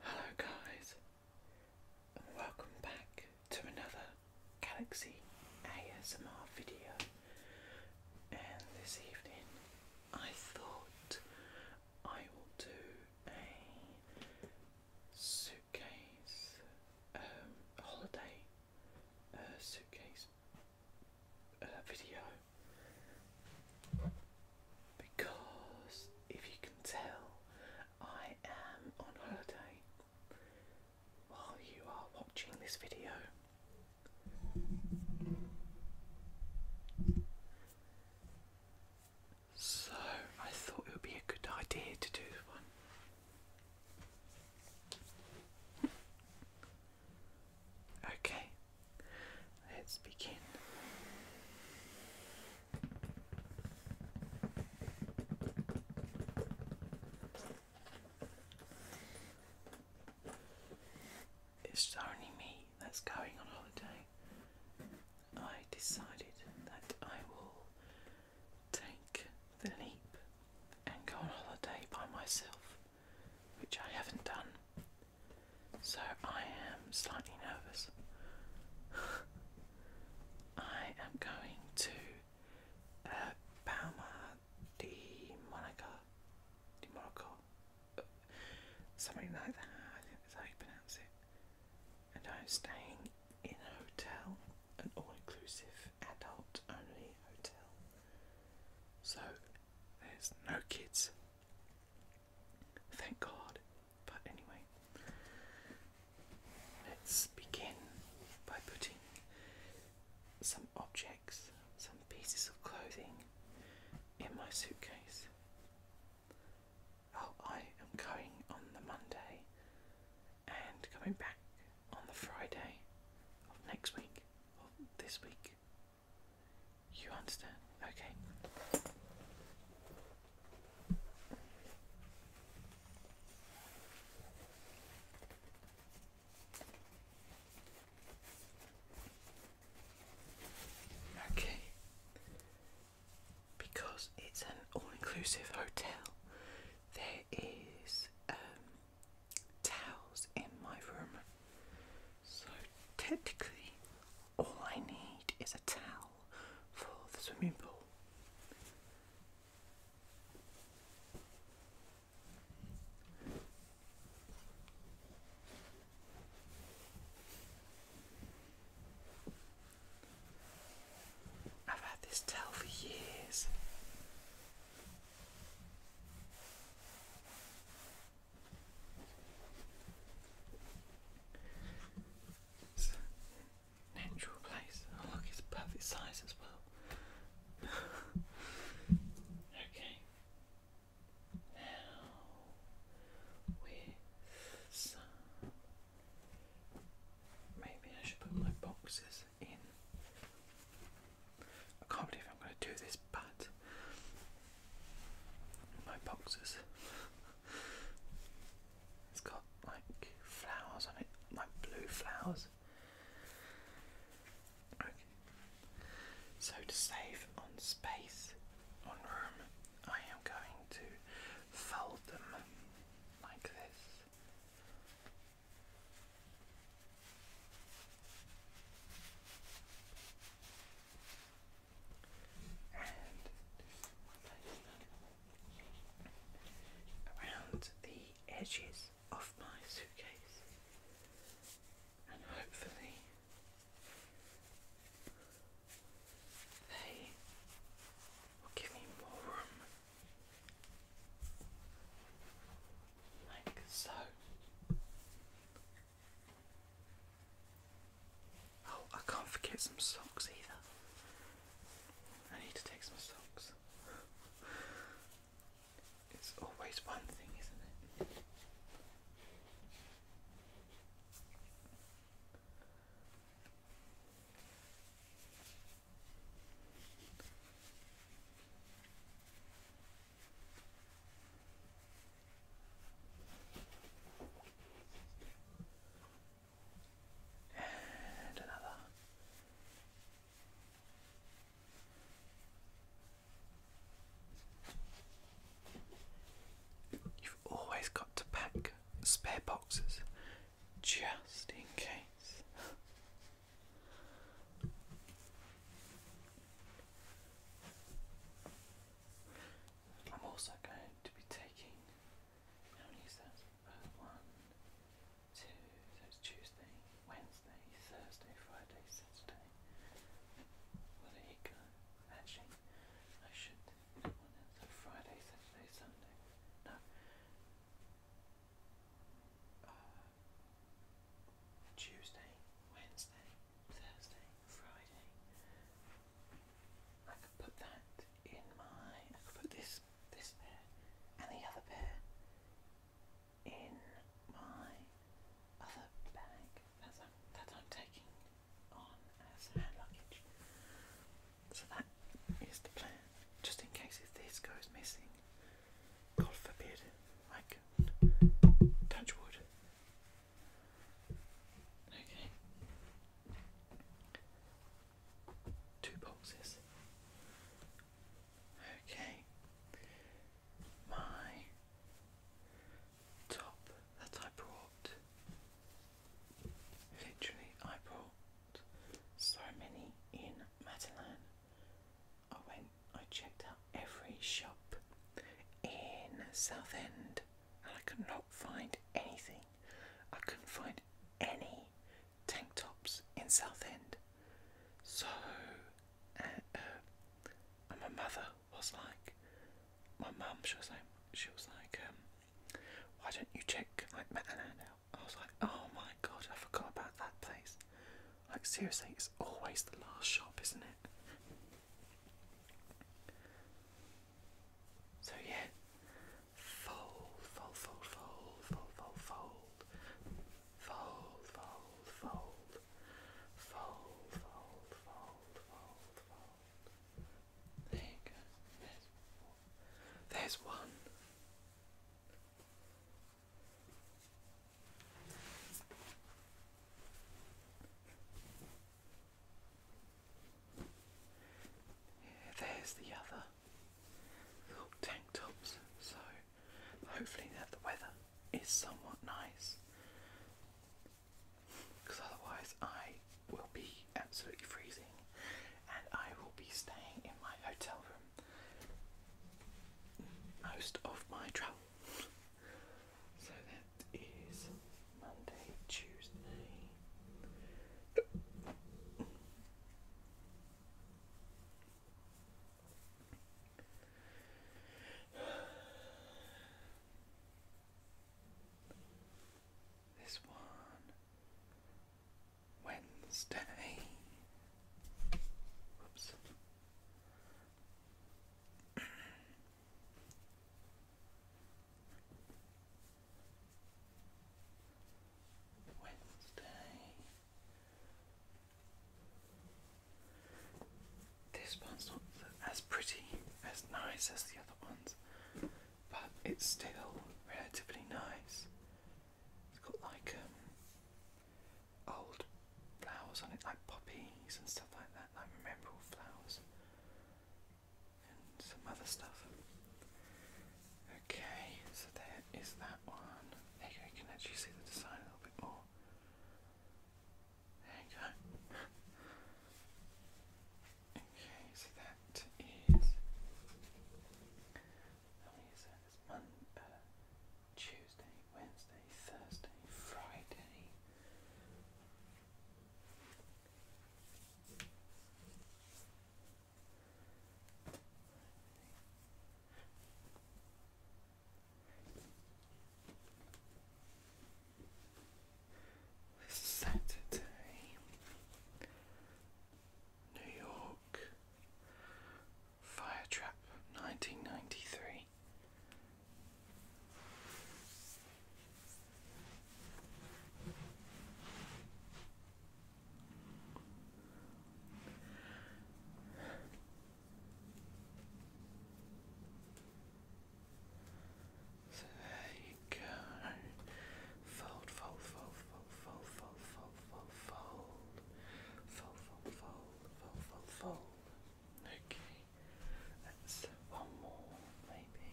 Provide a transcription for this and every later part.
Hello guys and welcome back to another Galaxy ASMR video and this evening I thought I will do a suitcase um, holiday uh, suitcase uh, video because if you can tell, I am on holiday while you are watching this video. So I thought it would be a good idea to do one. Okay, Let's begin. It's only me that's going on holiday. I decided that I will take the leap and go on holiday by myself, which I haven't done so I am slightly nervous. I am going to uh, Palma Monaco. Di Monaco. Uh, something like that, I think that's how you pronounce it. And I'm staying in a hotel, an all inclusive, adult only hotel. So there's no kids, Thank God. But anyway, let's begin by putting some objects, some pieces of clothing in my suitcase. Oh, I am going on the Monday and coming back on the Friday of next week, or this week, you understand? Okay. Okay. Because it's an all-inclusive hotel, there is um, towels in my room. So technically, all I need is a towel for the swimming pool. I've had this towel for years. It's natural place. Oh look, it's perfect size as well. okay. Now with some maybe I should put my boxes in I can't believe I'm going to do this, but my boxes. it's got like flowers on it, like blue flowers. Okay. So to save on space, on room, I am going to fold them like this. And around the edges of my suitcase, and hopefully they will give me more room, like so. Oh, I can't forget some socks either. I need to take some socks. It's always one thing, isn't it? And another. You've always got to pack spare boxes just in case. I'm also going to be taking how uh, so it's Tuesday, Wednesday, Thursday, Friday, Saturday. Well, there you go. Actually, I should. so Friday, Saturday, Sunday. No. Uh, Tuesday, Wednesday, Thursday, Friday. I could put that in my. I could put this this pair and the other pair in my other bag that that I'm taking on as hand luggage. So that is the plan. Just in case if this goes missing, God forbid, like touch wood. Okay. Two boxes. Okay. My top that I brought. Literally, I brought so many in Matalan. I went, I checked out every shop in Southend and I could not find anything. I couldn't find any tank tops in Southend. So, uh, uh, and my mother was like, my mum, she was like, she was like, um, why don't you check like Matalan out? I was like, oh my god, I forgot about that place. Like, seriously, it's always the last shop, isn't it? So, yeah, fold, fold, fold, fold, fold, fold, fold, fold, fold, fold, fold, fold, fold, fold, There you go. There's one there's the other little tank tops, so hopefully that the weather is somewhat nice because otherwise I will be absolutely freezing and I will be staying in my hotel room most of my travel. So that is Monday, Tuesday. This one Wednesday. Whoops. Wednesday. This one's not as pretty, as nice as the other ones, but it's still relatively nice. It's got like um, old flowers on it, like poppies and stuff like that, like memorable flowers and some other stuff. Okay, so there is that one. There you can actually see the design a little bit more. There you go. okay, so that is. How one, uh, Tuesday, Wednesday, Thursday, Friday. Saturday, New York. Fire Trap, 1993. So there you go. Fold, fold, fold, fold, fold, fold, fold, fold, fold, fold, fold, fold, fold, fold. Okay, that's one more maybe.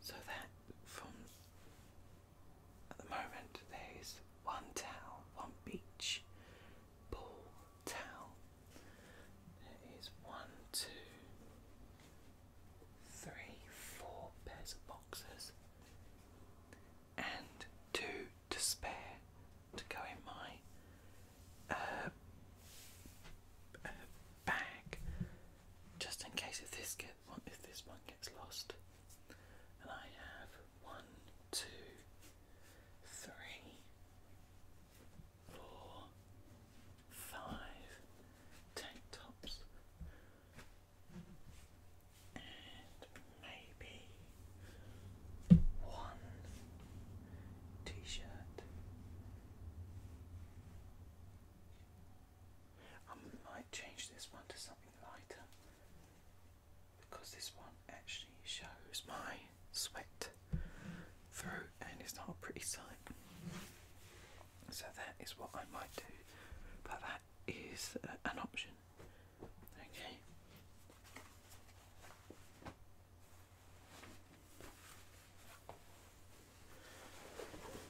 So that from at the moment there is one towel, one beach, ball, towel. There is one, two, three, four pairs of boxes, and two to spare to go in my uh, uh, bag, just in case if this get if this one gets lost. And I have one, two, three, four, five tank tops and maybe one t-shirt. I might change this one to something lighter because this one actually shows my sweat through and it's not a pretty sight. So that is what I might do, but that is uh, an option. Okay.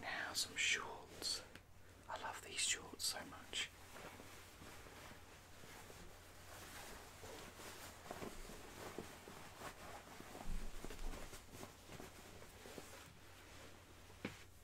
Now some shorts. I love these shorts so much.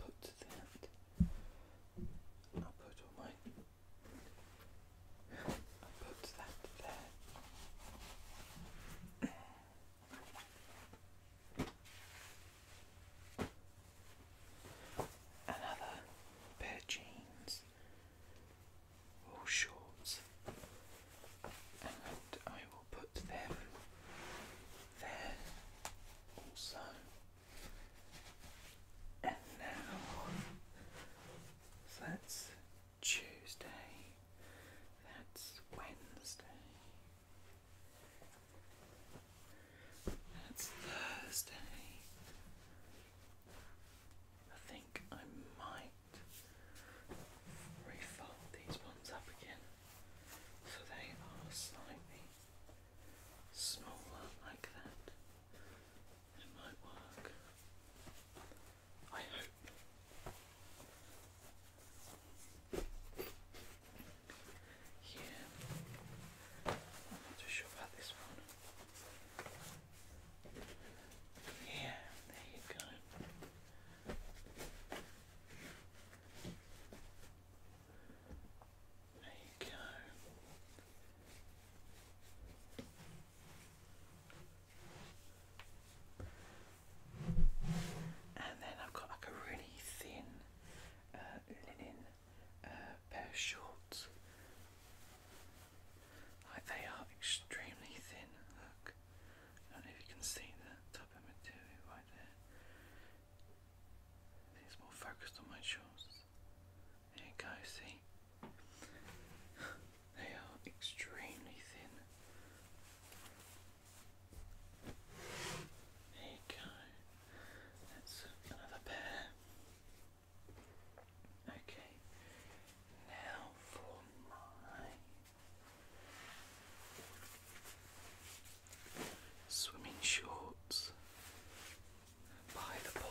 I'll put that. I'll put all my. i put that there. Another pair of jeans or shorts, and I put them there also. And now, so that's Tuesday, that's Wednesday, that's Thursday. I think I might refold these ones up again. So they are slightly smaller like that. It might work. I hope. Yeah. not too sure about this one. Yeah, there you go. There you go. And then I've got like a really thin uh, linen uh, pair shorts. Like they are extremely thin. Look, I don't know if you can see that of material right there. more focused on my shorts. There you go, see? They are extremely thin. There you go. That's another pair. Okay, now for my Swimming shorts by the pool.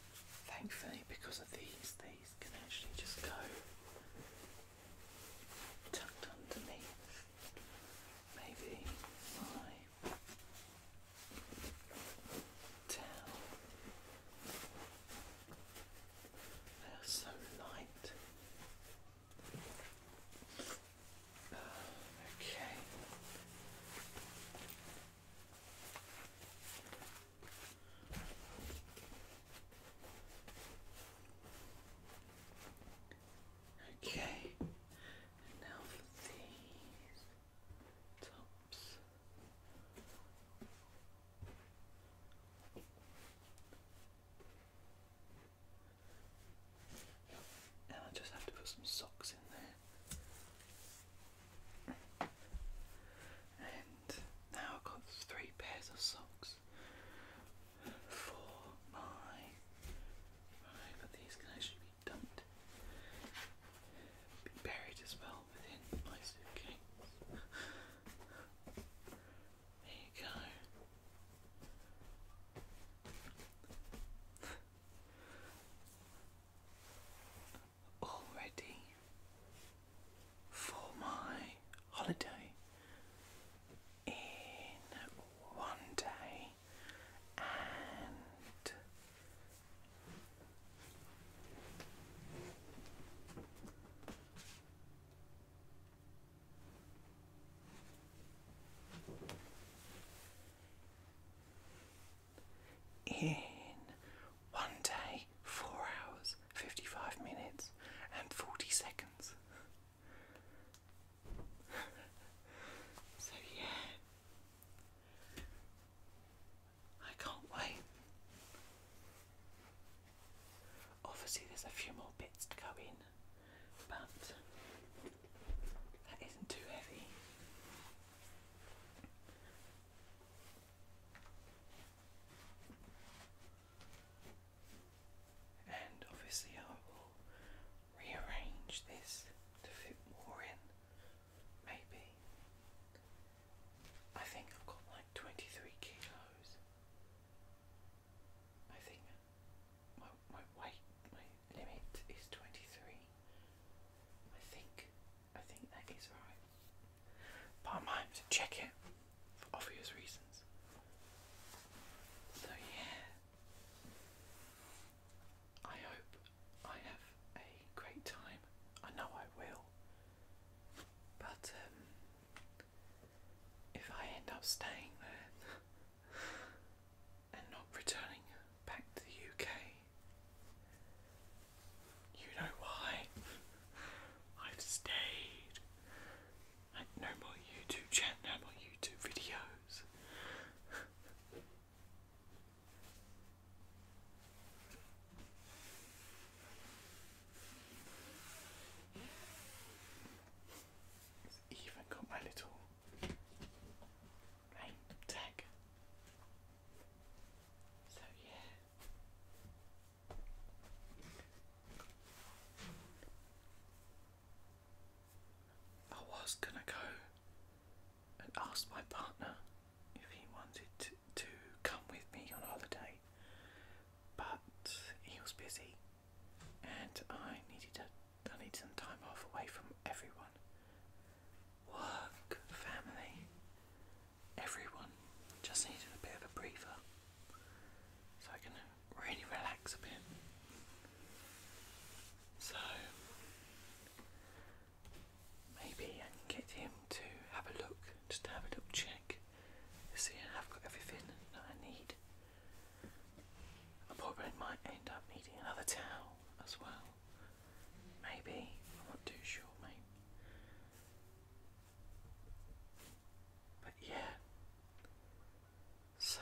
Thankfully, because of these, these can actually just go tucked underneath. Maybe my towel. They are so light. Uh, okay. Okay, and now for these tops. And I just have to put some socks in there. And now I've got three pairs of socks for my right, but these can actually be dumped, be buried as well within my suitcase. there you go all ready for my holiday in one day and in one day, four hours, 55 minutes, and 40 seconds. so, yeah. I can't wait. Obviously, there's a few more bits to go in, but that isn't too heavy. And obviously, I will rearrange this to fit more in. Maybe. I think I've got like 23 kilos. I think my, my weight, limit is 23. I think, I think that is right. But I might have to check it for obvious reasons. So yeah, I hope I have a great time. I know I will. But um, if I end up staying there, and not returning back to the UK. You know why? I've stayed. I no more YouTube channel, no YouTube videos. Even got my little right So yeah. I was gonna go and ask my partner if he wanted to, come with me on holiday, but he was busy and I needed to. I need some time off away from everyone. Work, family, everyone just needed a bit of a breather so I can really relax a bit. So maybe I can get him to have a look, just have a little check see I've got everything that I need. I probably might end up needing another towel as well. Maybe. I'm not too sure, mate. But yeah. So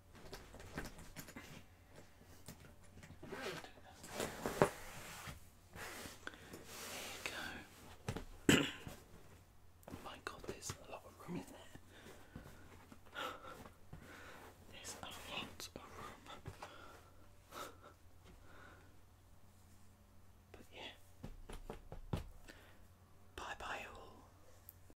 There you go. My God, there's a lot of room in there. There's a lot of room. But yeah. Bye bye all.